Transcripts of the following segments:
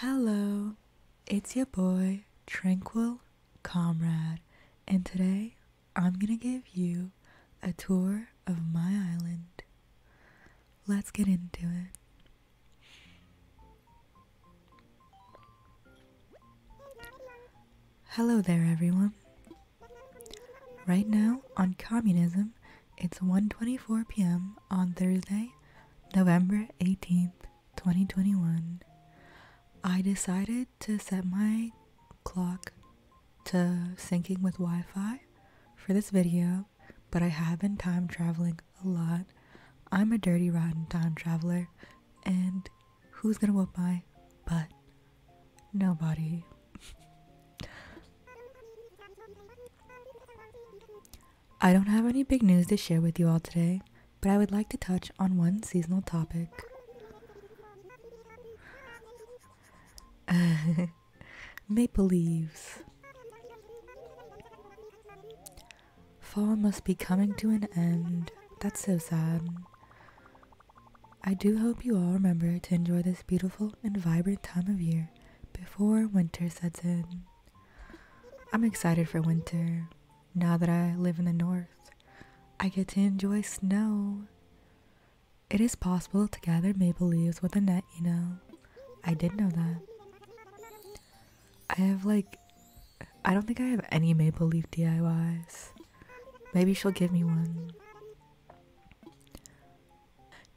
Hello, it's your boy Tranquil Comrade, and today I'm gonna give you a tour of my island. Let's get into it. Hello there, everyone. Right now on Communism, it's 1:24 p.m. on Thursday, November 18th, 2021. I decided to set my clock to syncing with Wi-Fi for this video, but I have been time traveling a lot. I'm a dirty rotten time traveler, and who's gonna whoop my butt? Nobody. I don't have any big news to share with you all today, but I would like to touch on one seasonal topic. Maple leaves. Fall must be coming to an end. That's so sad. I do hope you all remember to enjoy this beautiful and vibrant time of year before winter sets in. I'm excited for winter. Now that I live in the north, I get to enjoy snow. It is possible to gather maple leaves with a net, you know. I did know that. I have like, I don't think I have any maple leaf DIYs. Maybe she'll give me one.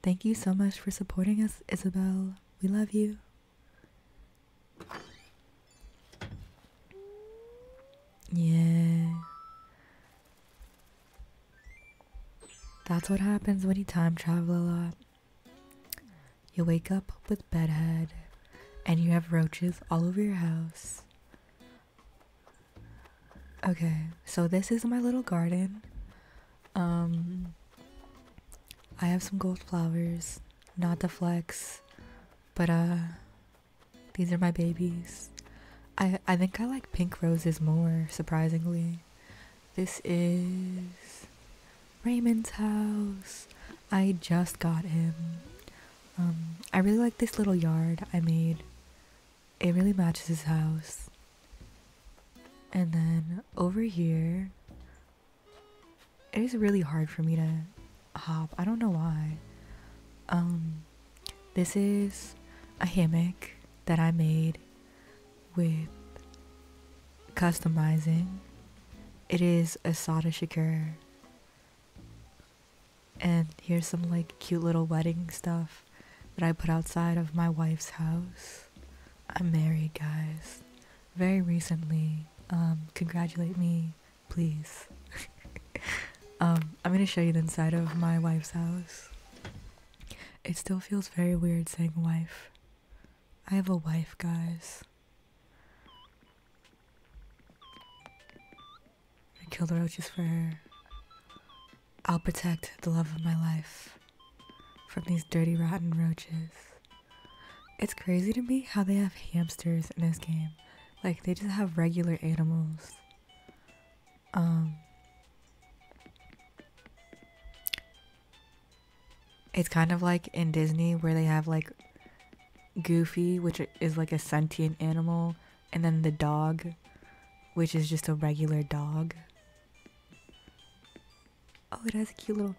Thank you so much for supporting us, Isabel. We love you. Yeah. That's what happens when you time travel a lot. You wake up with bedhead and you have roaches all over your house. Okay, so this is my little garden. Um I have some gold flowers, not the flex, but uh these are my babies. I I think I like pink roses more, surprisingly. This is Raymond's house. I just got him. Um I really like this little yard I made. It really matches his house. And then over here it is really hard for me to hop. I don't know why. Um, this is a hammock that I made with customizing. It is a Sada Shakur. And here's some like cute little wedding stuff that I put outside of my wife's house. I'm married, guys very recently. Um, congratulate me, please. um, I'm gonna show you the inside of my wife's house. It still feels very weird saying wife. I have a wife, guys. I kill the roaches for her. I'll protect the love of my life from these dirty, rotten roaches. It's crazy to me how they have hamsters in this game. Like, they just have regular animals. Um. It's kind of like in Disney where they have like Goofy, which is like a sentient animal, and then the dog, which is just a regular dog. Oh, it has a cute little.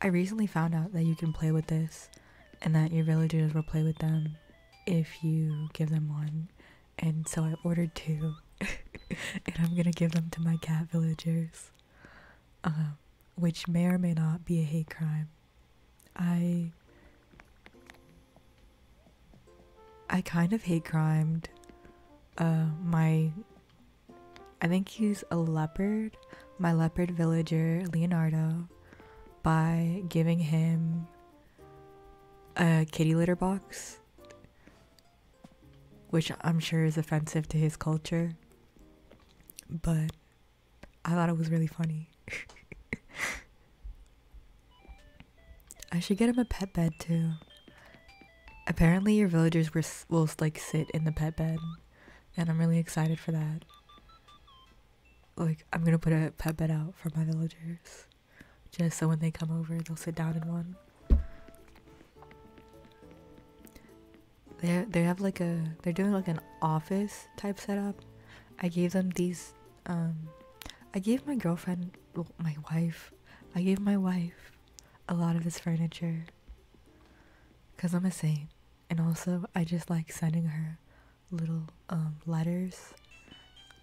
I recently found out that you can play with this and that your villagers will play with them if you give them one. And so I ordered two. and I'm gonna give them to my cat villagers. Um, which may or may not be a hate crime. I. I kind of hate crimed uh, my I think he's a leopard, my leopard villager, Leonardo, by giving him a kitty litter box, which I'm sure is offensive to his culture. But I thought it was really funny. I should get him a pet bed too. Apparently, your villagers will like sit in the pet bed, and I'm really excited for that. Like, I'm gonna put a pet bed out for my villagers, just so when they come over, they'll sit down in one. They they have like a they're doing like an office type setup. I gave them these. Um, I gave my girlfriend, my wife, I gave my wife a lot of this furniture because I'm a saint. And also, I just like sending her little um, letters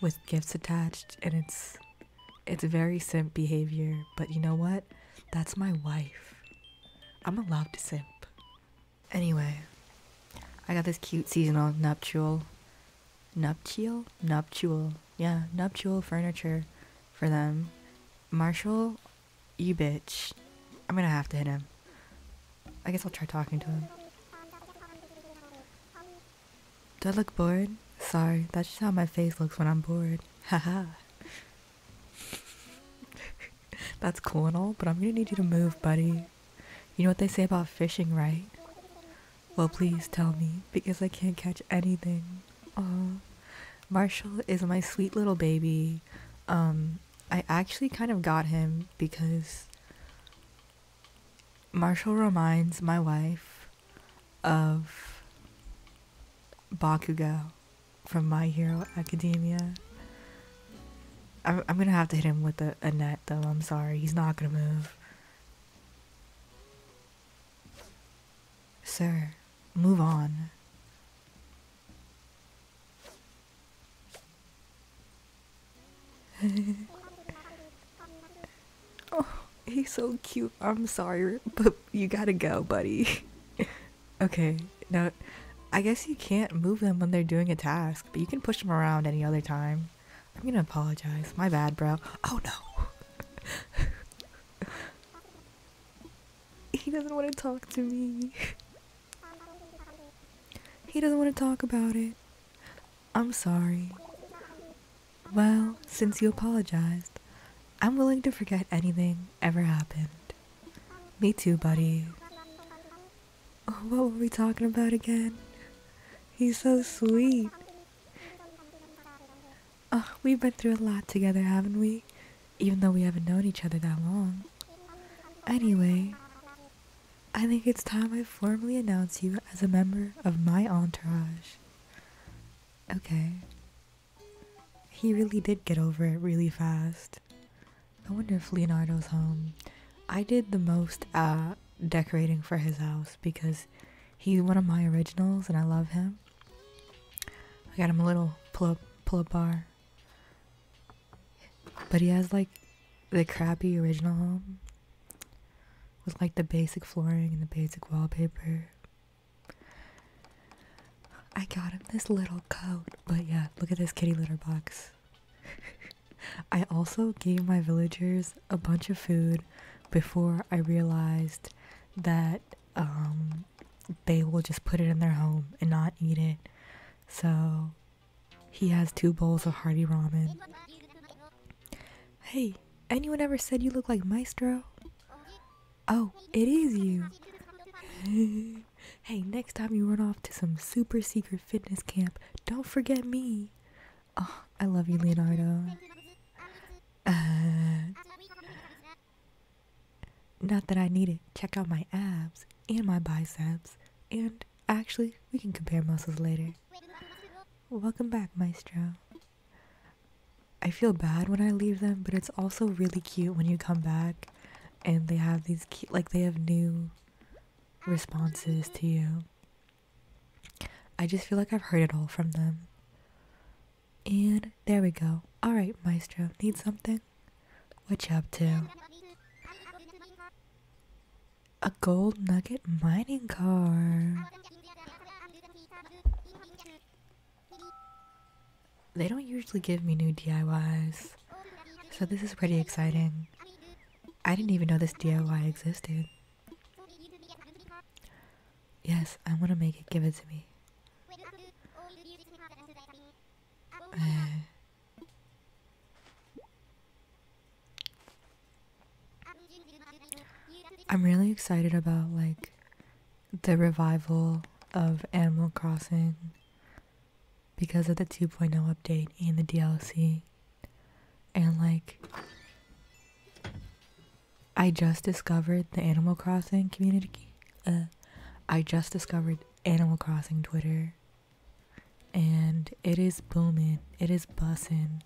with gifts attached, and it's it's very simp behavior. But you know what? That's my wife. I'm allowed to simp. Anyway, I got this cute seasonal nuptial, nuptial, nuptial, yeah, nuptial furniture for them. Marshall you bitch. I'm gonna have to hit him. I guess I'll try talking to him. Do I look bored? Sorry, that's just how my face looks when I'm bored. Haha. that's cool and all, but I'm gonna need you to move, buddy. You know what they say about fishing, right? Well, please tell me, because I can't catch anything. Oh, Marshall is my sweet little baby. Um, I actually kind of got him because Marshall reminds my wife of Bakugo from My Hero Academia. I'm, I'm gonna have to hit him with a, a net though, I'm sorry. He's not gonna move. Sir, move on. oh, he's so cute. I'm sorry, but you gotta go, buddy. okay, now I guess you can't move them when they're doing a task, but you can push them around any other time. I'm gonna apologize. My bad, bro. Oh no. He doesn't want to talk to me. he doesn't want to talk about it. I'm sorry. Well, since you apologized, I'm willing to forget anything ever happened. Me too, buddy. Oh, what were we talking about again? He's so sweet. Oh, we've been through a lot together, haven't we? Even though we haven't known each other that long. Anyway, I think it's time I formally announce you as a member of my entourage. Okay. He really did get over it really fast. I wonder if Leonardo's home. I did the most uh, decorating for his house because he's one of my originals and I love him. I got him a little pull-up bar. But he has like the crappy original with like the basic flooring and the basic wallpaper. I got him this little coat, but yeah, look at this kitty litter box. I also gave my villagers a bunch of food before I realized that um, they will just put it in their home and not eat it. So he has two bowls of hearty ramen. Hey, anyone ever said you look like Maestro? Oh, it is you. hey, next time you run off to some super secret fitness camp, don't forget me. Oh, I love you, Leonardo. Uh, not that I need it. Check out my abs and my biceps. And actually, we can compare muscles later. Welcome back, Maestro. I feel bad when I leave them, but it's also really cute when you come back and they have these like, they have new responses to you. I just feel like I've heard it all from them. And there we go. Alright, Maestro, need something? What you up to? A gold nugget mining car. They don't usually give me new DIYs, so this is pretty exciting. I didn't even know this DIY existed. Yes, I want to make it. Give it to me. I'm really excited about like the revival of Animal Crossing because of the 2.0 update and the DLC. And like I just discovered the Animal Crossing community uh, I just discovered Animal Crossing Twitter, and it is booming. It is bussing.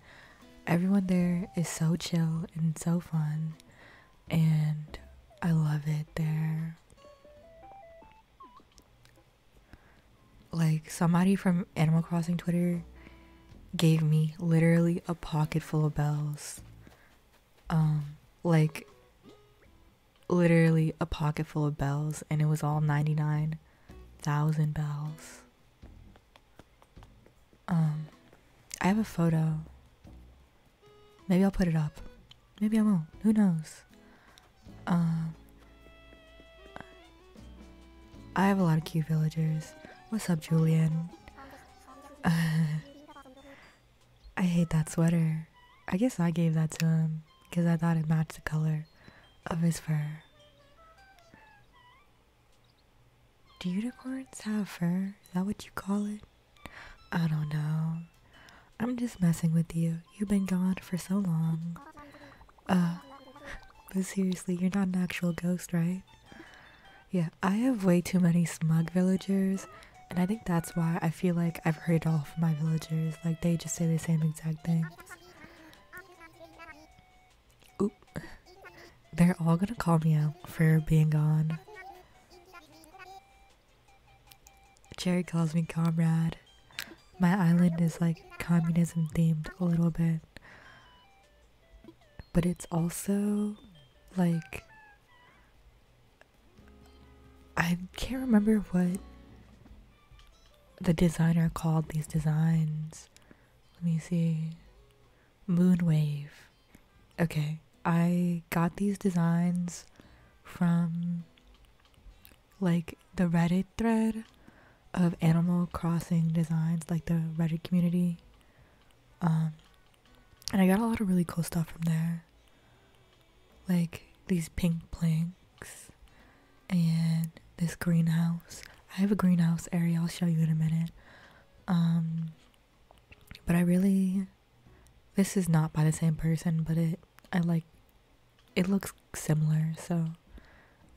Everyone there is so chill and so fun, and I love it there. Like somebody from Animal Crossing Twitter gave me literally a pocket full of bells um like literally a pocket full of bells and it was all 99,000 bells. Um I have a photo. Maybe I'll put it up. Maybe I won't. Who knows? Um I have a lot of cute villagers. What's up, Julian? I hate that sweater. I guess I gave that to him because I thought it matched the color of his fur. Do unicorns have fur? Is that what you call it? I don't know. I'm just messing with you. You've been gone for so long. Uh, but seriously, you're not an actual ghost, right? Yeah, I have way too many smug villagers and I think that's why I feel like I've heard all from my villagers. Like they just say the same exact things. Oop. They're all gonna call me out for being gone. Jerry calls me comrade. My island is like communism themed a little bit. But it's also like I can't remember what the designer called these designs. Let me see. Moonwave. Okay, I got these designs from like the Reddit thread of Animal Crossing designs, like the Reddit community. Um, and I got a lot of really cool stuff from there like these pink planks and this greenhouse. I have a greenhouse area, I'll show you in a minute. Um, but I really, this is not by the same person, but it, I like, it looks similar, so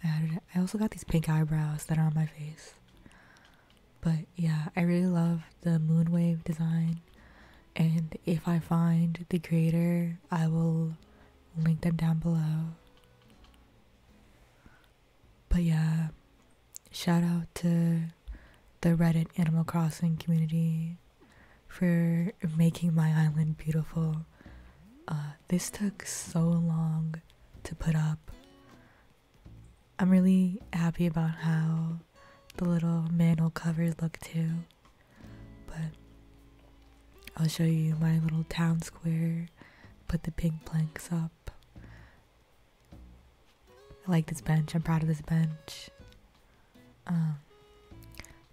I added I also got these pink eyebrows that are on my face. But yeah, I really love the moonwave design and if I find the creator, I will link them down below. But yeah, shout out to the Reddit Animal Crossing community for making my island beautiful. Uh, this took so long to put up. I'm really happy about how the little mantle covers look too. But I'll show you my little town square. Put the pink planks up. I like this bench. I'm proud of this bench. Um,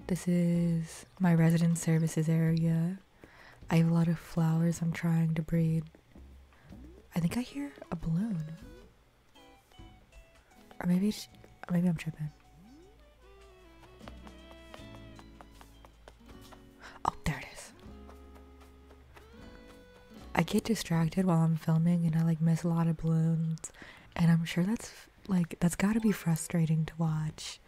this is my resident services area. I have a lot of flowers I'm trying to breed. I think I hear a balloon. Or maybe, maybe I'm tripping. Oh, there it is. I get distracted while I'm filming and I like miss a lot of balloons. And I'm sure that's like, that's gotta be frustrating to watch.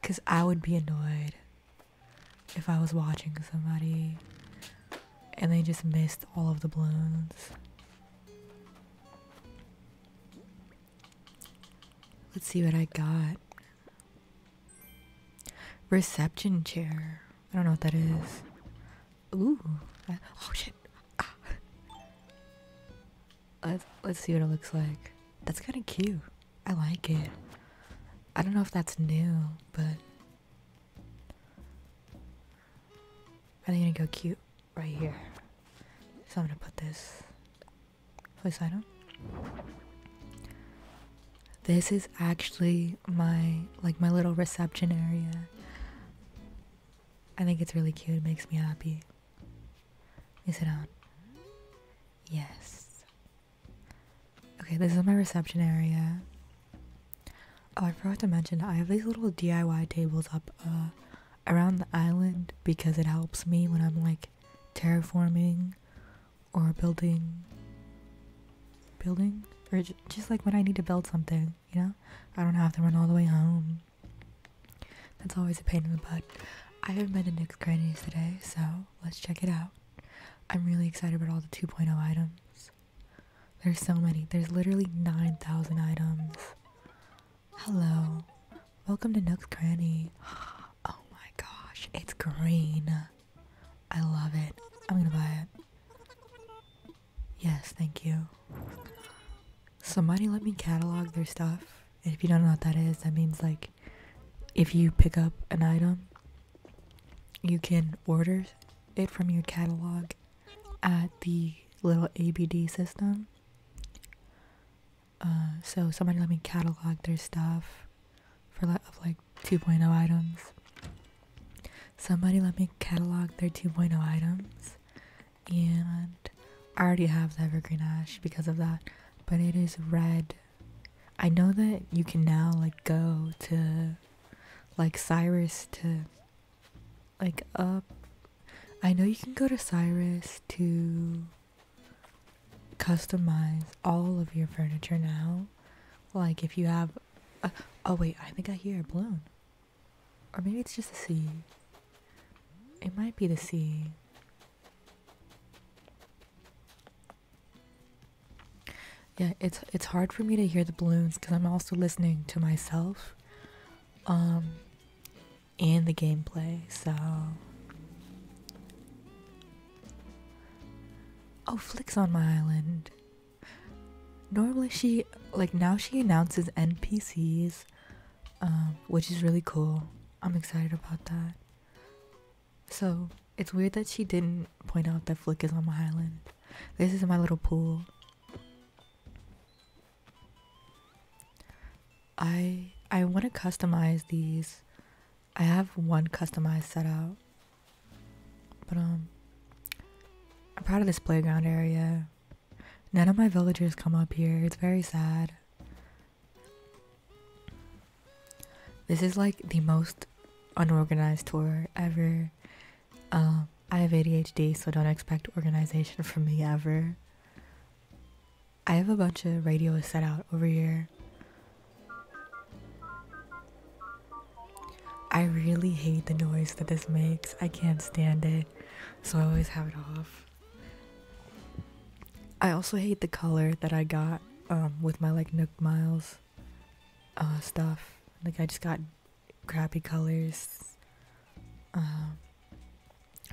Because I would be annoyed if I was watching somebody and they just missed all of the balloons. Let's see what I got. Reception chair. I don't know what that is. Ooh. Uh, oh shit. Ah. let let's see what it looks like. That's kind of cute. I like it. I don't know if that's new, but I'm gonna go cute right here? So I'm gonna put this place item. This is actually my like my little reception area. I think it's really cute. It makes me happy. Let me sit down. Yes. Okay, this is my reception area. Oh, I forgot to mention, I have these little DIY tables up uh, around the island because it helps me when I'm like terraforming or building. Building? Or just like when I need to build something, you know? I don't have to run all the way home. That's always a pain in the butt. I haven't been to Nick's Granny's today, so let's check it out. I'm really excited about all the 2.0 items. There's so many. There's literally 9,000 items. Hello. Welcome to Nook's Cranny. Oh my gosh, it's green. I love it. I'm gonna buy it. Yes, thank you. Somebody let me catalog their stuff. if you don't know what that is, that means like if you pick up an item, you can order it from your catalog at the little ABD system. Uh, so somebody let me catalog their stuff for like, of like 2.0 items. Somebody let me catalog their 2.0 items, and I already have the evergreen ash because of that, but it is red. I know that you can now like go to like Cyrus to like up. I know you can go to Cyrus to customize all of your furniture now. Like if you have, uh, oh wait, I think I hear a balloon, or maybe it's just the sea. It might be the sea. Yeah, it's it's hard for me to hear the balloons because I'm also listening to myself um and the gameplay so oh flicks on my island normally she like now she announces npcs um, which is really cool i'm excited about that so it's weird that she didn't point out that flick is on my island this is my little pool I I want to customize these. I have one customized set out. But um I'm proud of this playground area. None of my villagers come up here. It's very sad. This is like the most unorganized tour ever. Um, I have ADHD, so don't expect organization from me ever. I have a bunch of radios set out over here. I really hate the noise that this makes. I can't stand it. So I always have it off. I also hate the color that I got um, with my like Nook Miles uh, stuff. Like I just got crappy colors. Um,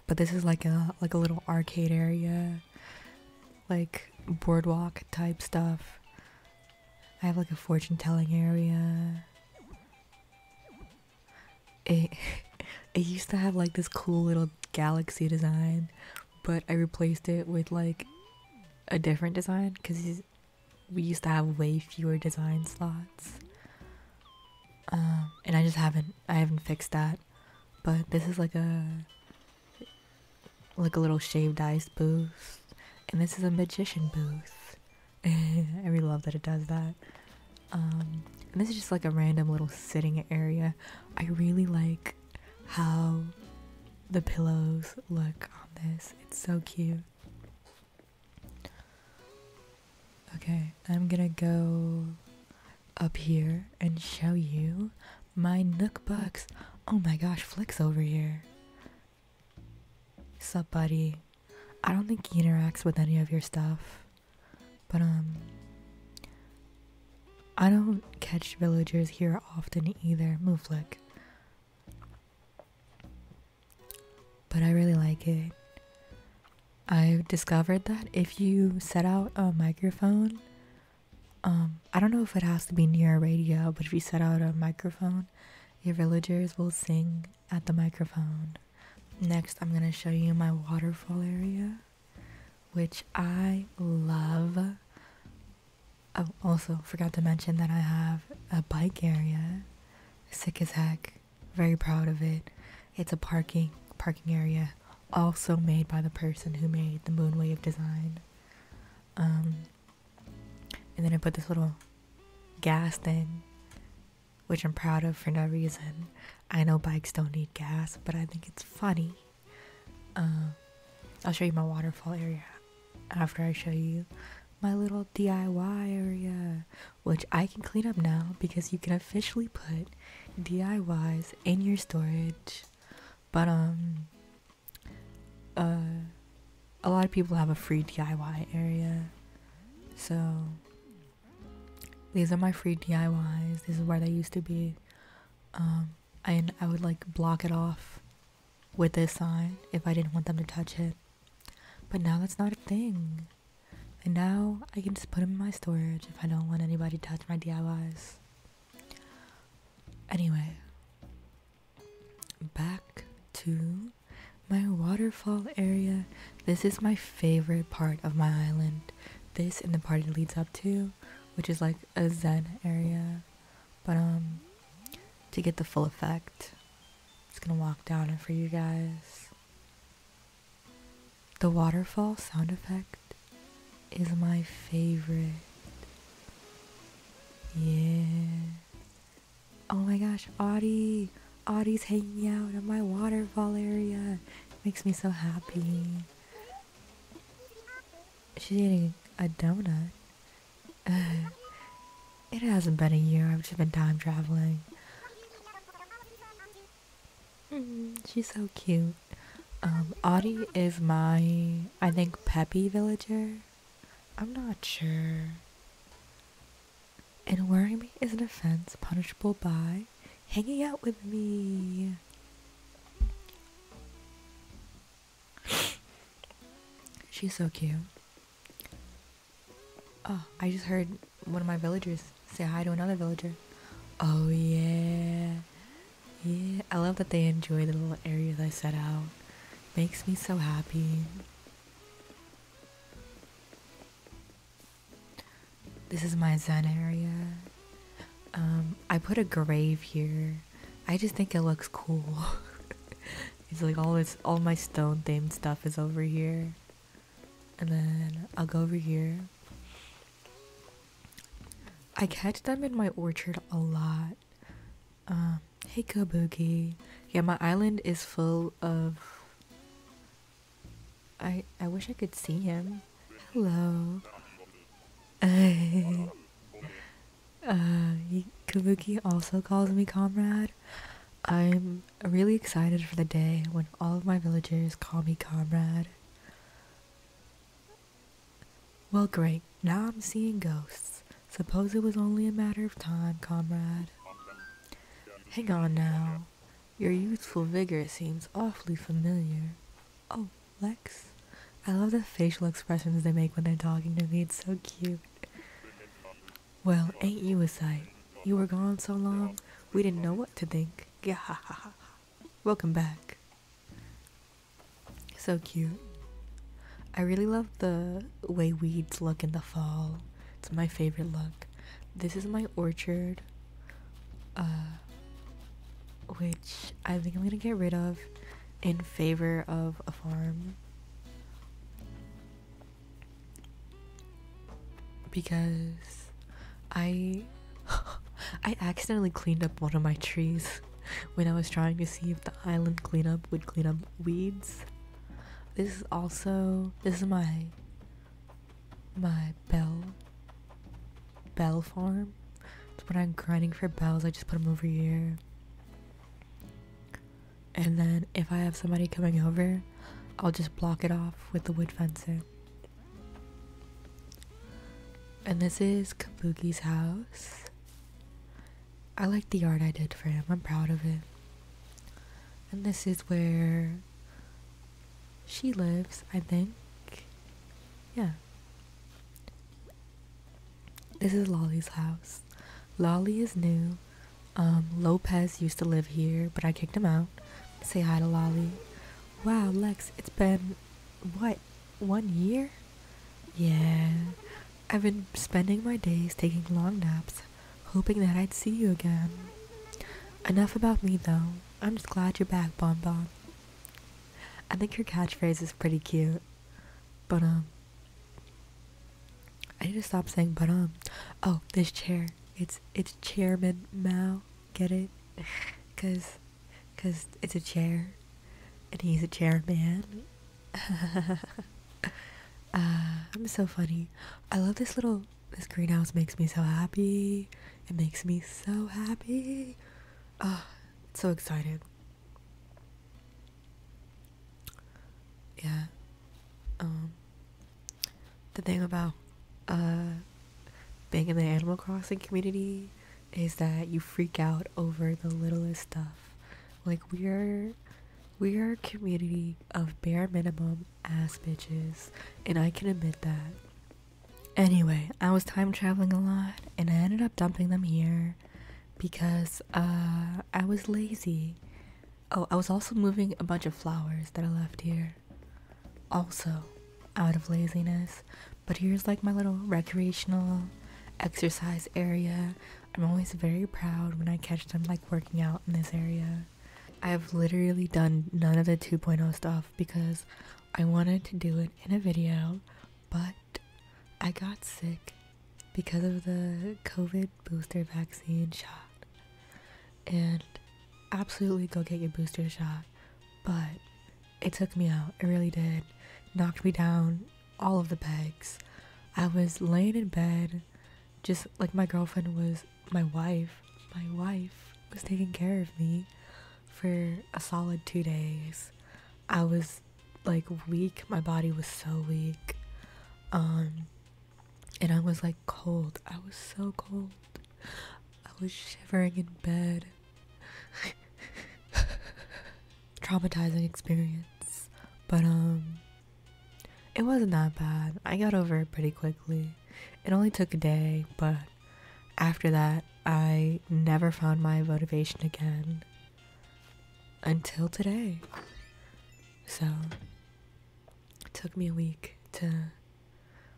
but this is like a like a little arcade area, like boardwalk type stuff. I have like a fortune telling area. It it used to have like this cool little galaxy design, but I replaced it with like a different design because we used to have way fewer design slots. Um, and I just haven't I haven't fixed that. But this is like a like a little shaved ice booth, and this is a magician booth. I really love that it does that. Um, and this is just like a random little sitting area. I really like how the pillows look on this. It's so cute. Okay, I'm gonna go up here and show you my Nook Bucks. Oh my gosh, Flick's over here. Sup, buddy. I don't think he interacts with any of your stuff. But, um, I don't catch villagers here often either. Move, Flick but I really like it. I've discovered that if you set out a microphone, um, I don't know if it has to be near a radio, but if you set out a microphone, your villagers will sing at the microphone. Next, I'm gonna show you my waterfall area, which I love. I oh, also forgot to mention that I have a bike area, sick as heck. Very proud of it. It's a parking parking area also made by the person who made the Moonwave design. Um, and then I put this little gas thing, which I'm proud of for no reason. I know bikes don't need gas, but I think it's funny. Um, I'll show you my waterfall area after I show you my little DIY area, which I can clean up now because you can officially put DIYs in your storage. But um uh a lot of people have a free DIY area. So these are my free DIYs. This is where they used to be. Um and I would like block it off with this sign if I didn't want them to touch it. But now that's not a thing. And now I can just put them in my storage if I don't want anybody to touch my DIYs. Anyway, back to my waterfall area. This is my favorite part of my island. This and the part it leads up to, which is like a zen area. But um, to get the full effect, I'm just gonna walk down it for you guys. The waterfall sound effect is my favorite. Yeah. Oh my gosh, Audie! Audie's hanging out in my waterfall area. Makes me so happy. She's eating a donut. it hasn't been a year, I've just been time traveling. Mm-hmm. she's so cute. Um, is my, I think, peppy villager. I'm not sure. And worrying me is an offense punishable by hanging out with me. She's so cute. Oh, I just heard one of my villagers say hi to another villager. Oh yeah. Yeah, I love that they enjoy the little areas I set out. Makes me so happy. This is my zen area. Um, I put a grave here. I just think it looks cool. it's like all this, all my stone themed stuff is over here and then I'll go over here. I catch them in my orchard a lot. Um, hey Kabuki. Yeah, my island is full of. I I wish I could see him. Hello. uh, Kabuki also calls me comrade. I'm really excited for the day when all of my villagers call me comrade. Well, great. Now I'm seeing ghosts. Suppose it was only a matter of time, comrade. Hang on now. Your youthful vigor seems awfully familiar. Oh, Lex? I love the facial expressions they make when they're talking to me. It's so cute. Well, ain't you a sight? You were gone so long, we didn't know what to think. Yeah, Welcome back. So cute. I really love the way weeds look in the fall. It's my favorite look. This is my orchard, uh, which I think I'm gonna get rid of in favor of a farm because I I accidentally cleaned up one of my trees when I was trying to see if the island cleanup would clean up weeds. This is also this is my my bell bell farm. when I'm grinding for bells, I just put them over here. And then if I have somebody coming over, I'll just block it off with the wood fence. And this is Kabuki's house. I like the art I did for him. I'm proud of it. And this is where she lives, I think. Yeah. This is Lolly's house. Lolly is new. Um, Lopez used to live here, but I kicked him out say hi to Lolly. Wow, Lex, it's been what, one year? Yeah, I've been spending my days taking long naps, hoping that I'd see you again. Enough about me though, I'm just glad you're back, Bon Bon. I think your catchphrase is pretty cute. But, um, I need to stop saying but, um, oh, this chair. It's it's Chairman Mao. Get it? Cause, cause it's a chair, and he's a chairman. uh, I'm so funny. I love this little this greenhouse. Makes me so happy. It makes me so happy. Oh, so excited. Yeah. Um, the thing about uh, being in the Animal Crossing community is that you freak out over the littlest stuff. Like we are we are a community of bare minimum ass bitches, and I can admit that. Anyway, I was time traveling a lot and I ended up dumping them here because uh, I was lazy. Oh, I was also moving a bunch of flowers that I left here also out of laziness. But here's like my little recreational exercise area. I'm always very proud when I catch them like working out in this area. I have literally done none of the 2.0 stuff because I wanted to do it in a video, but I got sick because of the COVID booster vaccine shot and absolutely go get your booster shot. But it took me out, it really did. Knocked me down, all of the pegs. I was laying in bed, just like my girlfriend was, my wife, my wife was taking care of me for a solid two days. I was like weak, my body was so weak. Um, and I was like cold. I was so cold. I was shivering in bed. Traumatizing experience. But, um, it wasn't that bad. I got over it pretty quickly. It only took a day, but after that, I never found my motivation again until today. So, it took me a week to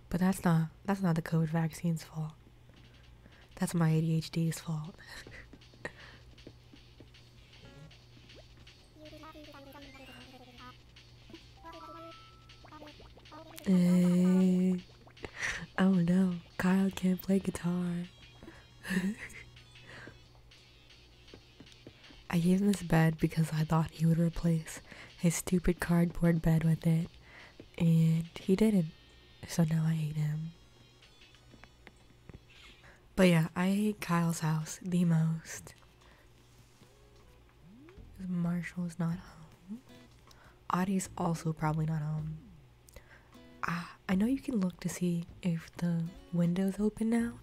but that's not that's not the COVID vaccine's fault. That's my ADHD's fault. hey. Oh no, Kyle can't play guitar. I gave him this bed because I thought he would replace his stupid cardboard bed with it, and he didn't. So now I hate him. But yeah, I hate Kyle's house the most. Marshall's not home. Audie's also probably not home. Ah, I know you can look to see if the window's open now,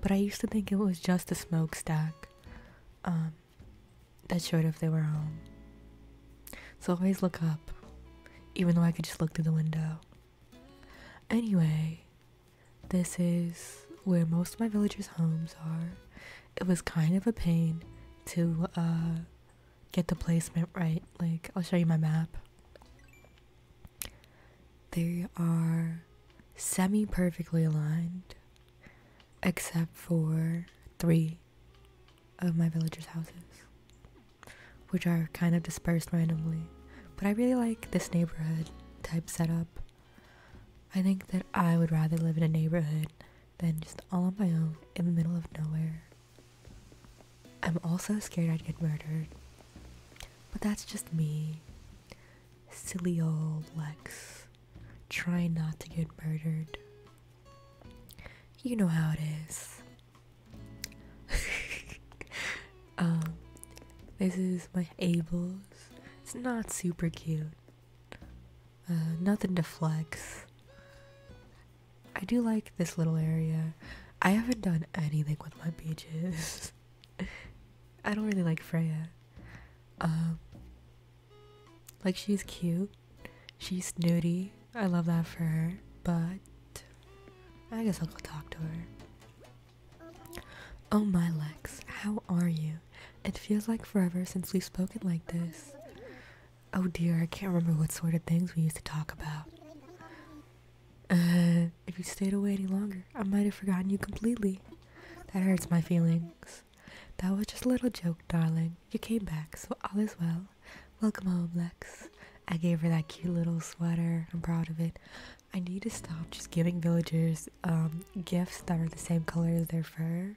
but I used to think it was just a smokestack. Um, that showed if they were home. So always look up, even though I could just look through the window. Anyway, this is where most of my villagers' homes are. It was kind of a pain to uh, get the placement right. Like, I'll show you my map. They are semi perfectly aligned except for three of my villagers' houses, which are kind of dispersed randomly. But I really like this neighborhood type setup. I think that I would rather live in a neighborhood than just all on my own in the middle of nowhere. I'm also scared I'd get murdered, but that's just me. Silly old Lex. Try not to get murdered. You know how it is. um, this is my Abel's. It's not super cute. Uh, nothing to flex. I do like this little area. I haven't done anything with my beaches. I don't really like Freya. Um, like, she's cute, she's snooty. I love that for her, but I guess I'll go talk to her. Oh my Lex, how are you? It feels like forever since we've spoken like this. Oh dear, I can't remember what sort of things we used to talk about. Uh, if you stayed away any longer, I might have forgotten you completely. That hurts my feelings that was just a little joke, darling. You came back, so all is well. Welcome home, Lex. I gave her that cute little sweater. I'm proud of it. I need to stop just giving villagers um, gifts that are the same color as their fur.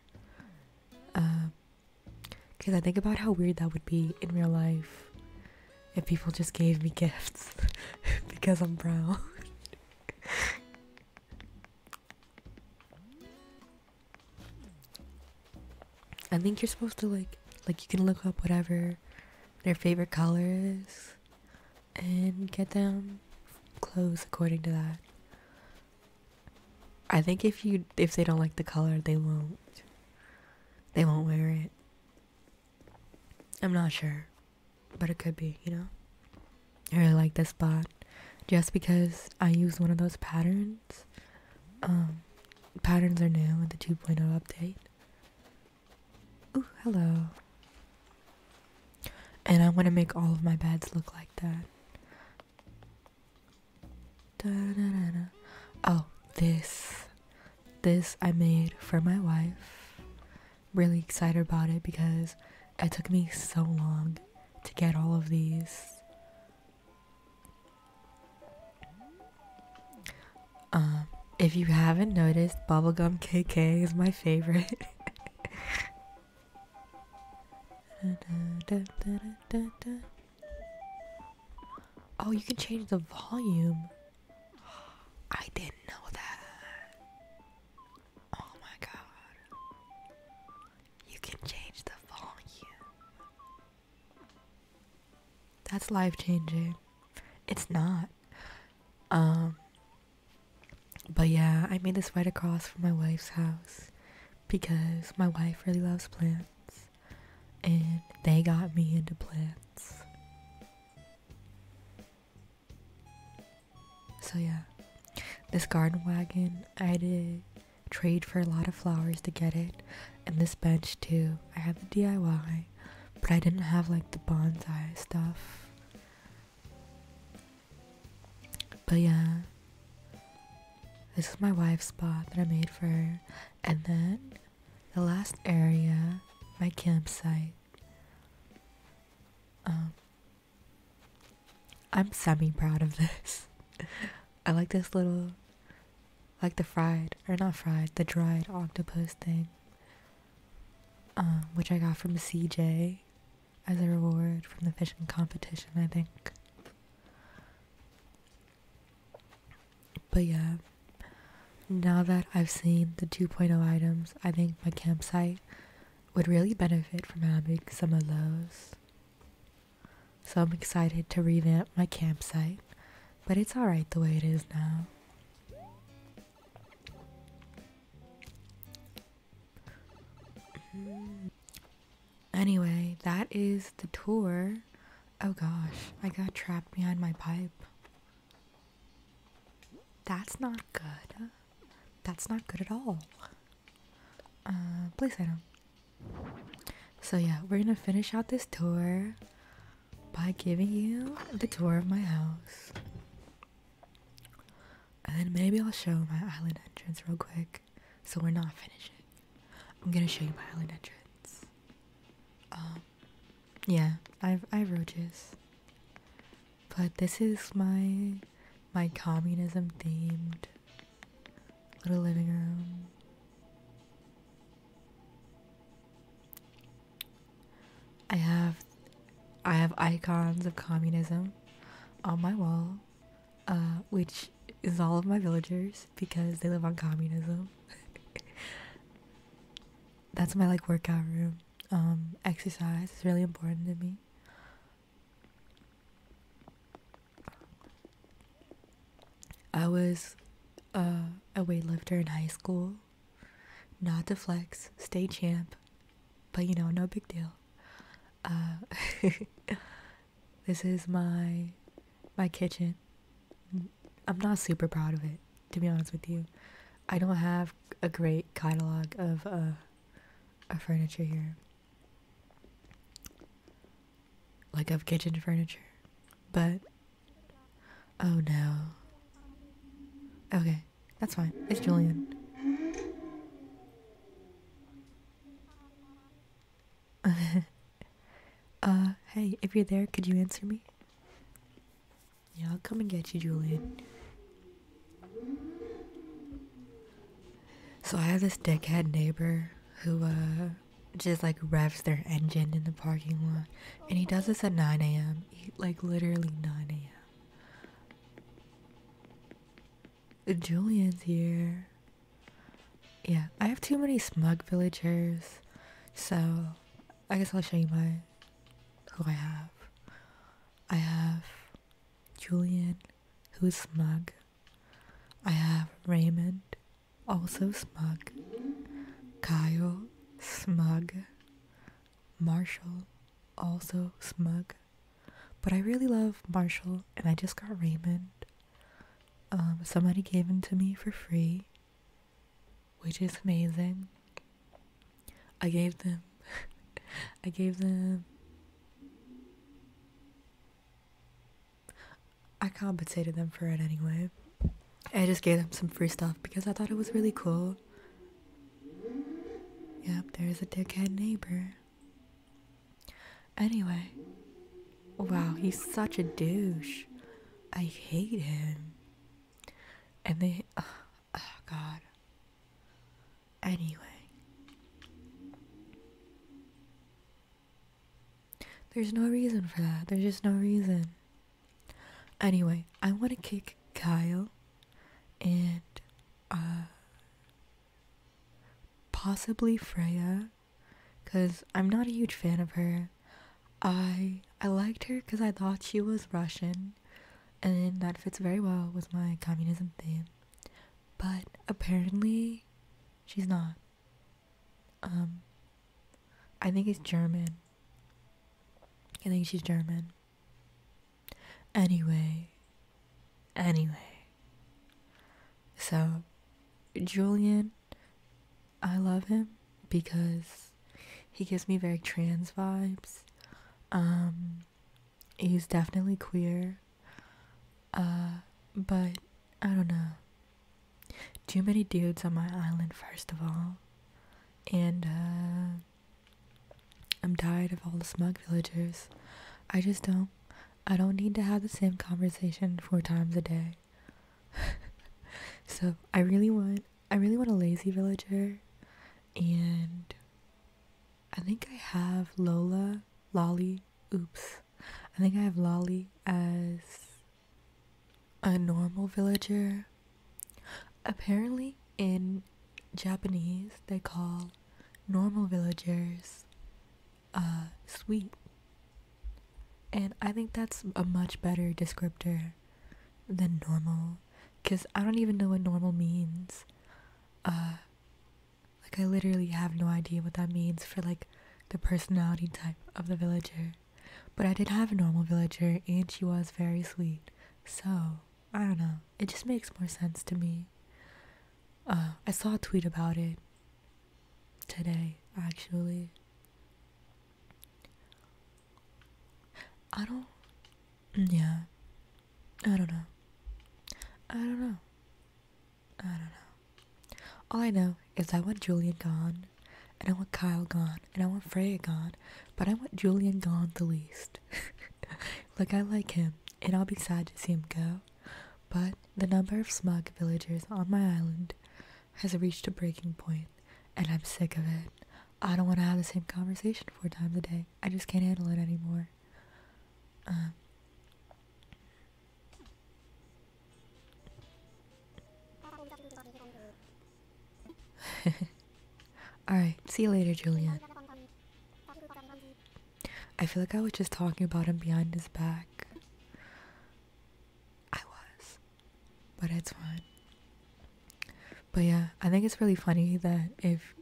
Because um, I think about how weird that would be in real life if people just gave me gifts because I'm brown. I think you're supposed to like like you can look up whatever their favorite color is and get them clothes according to that. I think if you if they don't like the color, they won't. They won't wear it. I'm not sure, but it could be, you know. I really like this spot just because I use one of those patterns. Um, patterns are new with the 2.0 update. Ooh, hello. And I want to make all of my beds look like that. Da -da -da oh, this. This I made for my wife. Really excited about it because it took me so long to get all of these. Um, if you haven't noticed, Bubblegum KK is my favorite. oh, you can change the volume. I didn't know that. Oh my god. You can change the volume. That's life changing. It's not. Um but yeah, I made this right across from my wife's house because my wife really loves plants and they got me into plants. So yeah. This garden wagon, I did trade for a lot of flowers to get it, and this bench too. I had the DIY, but I didn't have like the bonsai stuff. But yeah, this is my wife's spot that I made for her, and then the last area, my campsite. Um, I'm semi proud of this. I like this little, like the fried, or not fried, the dried octopus thing, um, which I got from CJ as a reward from the fishing competition, I think. But yeah, now that I've seen the 2.0 items, I think my campsite would really benefit from having some of those. So I'm excited to revamp my campsite, but it's alright the way it is now. Anyway, that is the tour. Oh gosh, I got trapped behind my pipe. That's not good. That's not good at all uh, place item. So yeah, we're gonna finish out this tour by giving you the tour of my house. And then maybe I'll show my island entrance real quick. So we're not finishing. I'm gonna show you my island entrance. Um, yeah, I've I have roaches. But this is my my communism themed little living room. I have I have icons of communism on my wall, uh, which is all of my villagers because they live on communism. That's my like workout room. Um, exercise is really important to me. I was a weightlifter in high school. Not to flex, state champ, but you know, no big deal. Uh, this is my my kitchen. I'm not super proud of it, to be honest with you. I don't have a great catalog of uh, of furniture here like of kitchen furniture. But oh no. Okay, that's fine. It's Julian. uh, hey, if you're there, could you answer me? Yeah, I'll come and get you, Julian. So I have this dickhead neighbor who uh, just like revs their engine in the parking lot, and he does this at 9 a.m. Like literally 9 a.m. Julian's here. Yeah, I have too many smug villagers, so I guess I'll show you my who I have. I have Julian, who's smug. I have Raymond, also smug, Kyle, smug, Marshall, also smug. But I really love Marshall, and I just got Raymond. Um, somebody gave him to me for free, which is amazing. I gave them, I gave them I compensated them for it anyway. I just gave them some free stuff because I thought it was really cool. Yep, there's a dickhead neighbor. Anyway, wow, he's such a douche. I hate him. And they, oh, oh God. Anyway, there's no reason for that. There's just no reason. Anyway, I want to kick Kyle and uh, possibly Freya because I'm not a huge fan of her. I I liked her because I thought she was Russian, and that fits very well with my communism theme. But apparently, she's not. Um, I think he's German. I think she's German. Anyway, anyway. So, Julian, I love him because he gives me very trans vibes. Um, he's definitely queer. Uh, but I don't know. Too many dudes on my island, first of all. And, uh, I'm tired of all the smug villagers. I just don't. I don't need to have the same conversation four times a day. so I really want I really want a lazy villager and I think I have Lola, Lolly, oops. I think I have Lolly as a normal villager. Apparently, in Japanese, they call normal villagers uh, sweet. And I think that's a much better descriptor than normal because I don't even know what normal means. Uh, like, I literally have no idea what that means for like the personality type of the villager. But I did have a normal villager and she was very sweet. So, I don't know. It just makes more sense to me. Uh, I saw a tweet about it today, actually. I don't. Mm, yeah. I don't know. I don't know. I don't know. All I know is I want Julian gone, and I want Kyle gone, and I want Freya gone, but I want Julian gone the least. like, I like him, and I'll be sad to see him go, but the number of smug villagers on my island has reached a breaking point, and I'm sick of it. I don't want to have the same conversation four times a day. I just can't handle it anymore. Um, Alright, see you later, Julian. I feel like I was just talking about him behind his back. I was. But it's fine. But yeah, I think it's really funny that if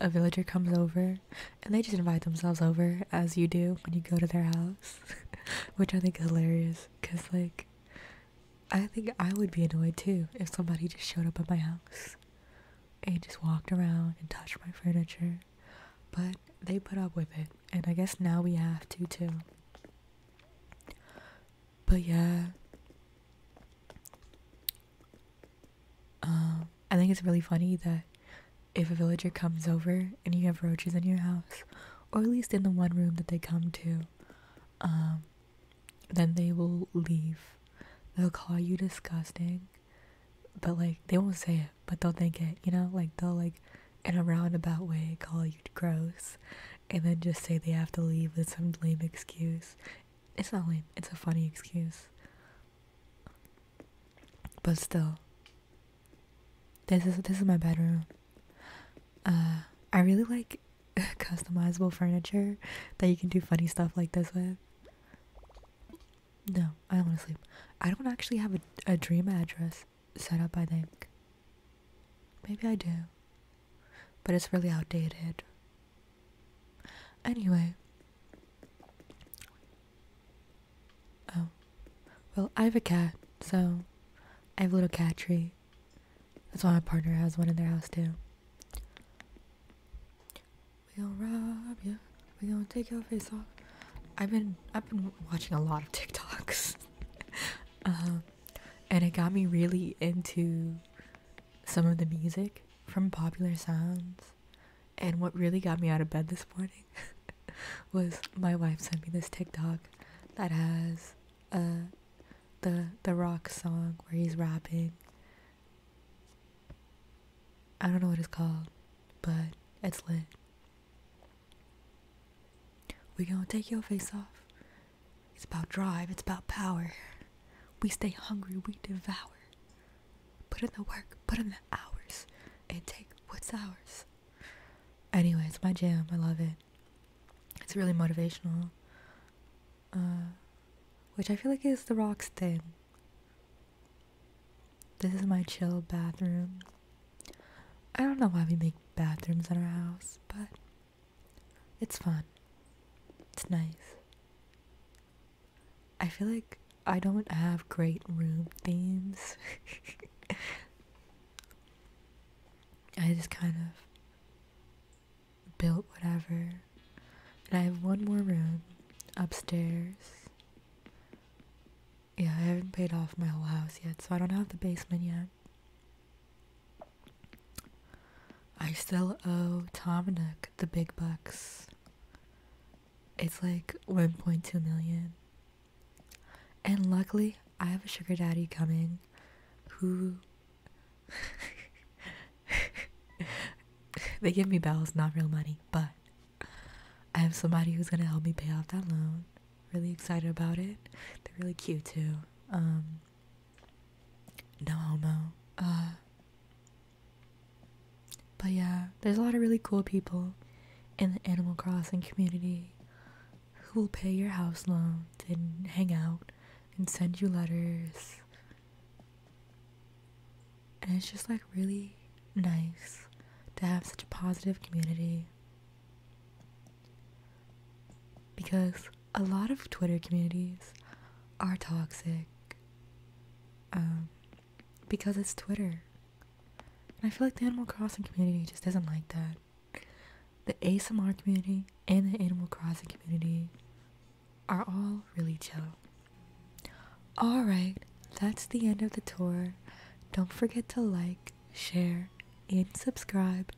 a villager comes over and they just invite themselves over as you do when you go to their house which i think is hilarious because like i think i would be annoyed too if somebody just showed up at my house and just walked around and touched my furniture but they put up with it and i guess now we have to too but yeah um i think it's really funny that if a villager comes over and you have roaches in your house, or at least in the one room that they come to, um, then they will leave. They'll call you disgusting, but like they won't say it, but they'll think it, you know? Like they'll like in a roundabout way call you gross and then just say they have to leave with some lame excuse. It's not lame, it's a funny excuse. But still, this is this is my bedroom. Uh, I really like customizable furniture that you can do funny stuff like this with. No, I don't want to sleep. I don't actually have a, a dream address set up, I think. Maybe I do. But it's really outdated. Anyway, Oh, well, I have a cat, so I have a little cat tree. That's why my partner has one in their house too. We going rob you. We gonna take your face off. I've been I've been watching a lot of TikToks, um, and it got me really into some of the music from Popular Sounds, and what really got me out of bed this morning was my wife sent me this TikTok that has uh the the rock song where he's rapping. I don't know what it's called, but it's lit. We gonna take your face off. It's about drive, it's about power. We stay hungry, we devour. Put in the work, put in the hours, and take what's ours. Anyway, it's my jam. I love it. It's really motivational. Uh, which I feel like is the rocks thing. This is my chill bathroom. I don't know why we make bathrooms in our house, but it's fun. It's nice. I feel like I don't have great room themes. I just kind of built whatever. And I have one more room upstairs. Yeah, I haven't paid off my whole house yet, so I don't have the basement yet. I still owe Dominic the big bucks. It's like 1.2 million. And luckily, I have a sugar daddy coming who. they give me bells, not real money, but I have somebody who's gonna help me pay off that loan. Really excited about it. They're really cute too. Um, no homo. Uh, but yeah, there's a lot of really cool people in the Animal Crossing community who will pay your house loans and hang out and send you letters. And it's just like really nice to have such a positive community. Because a lot of Twitter communities are toxic. Um, because it's Twitter. I feel like the Animal Crossing community just doesn't like that. The ASMR community and the Animal Crossing community are all really chill. Alright, that's the end of the tour. Don't forget to like, share, and subscribe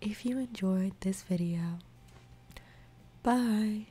if you enjoyed this video. Bye!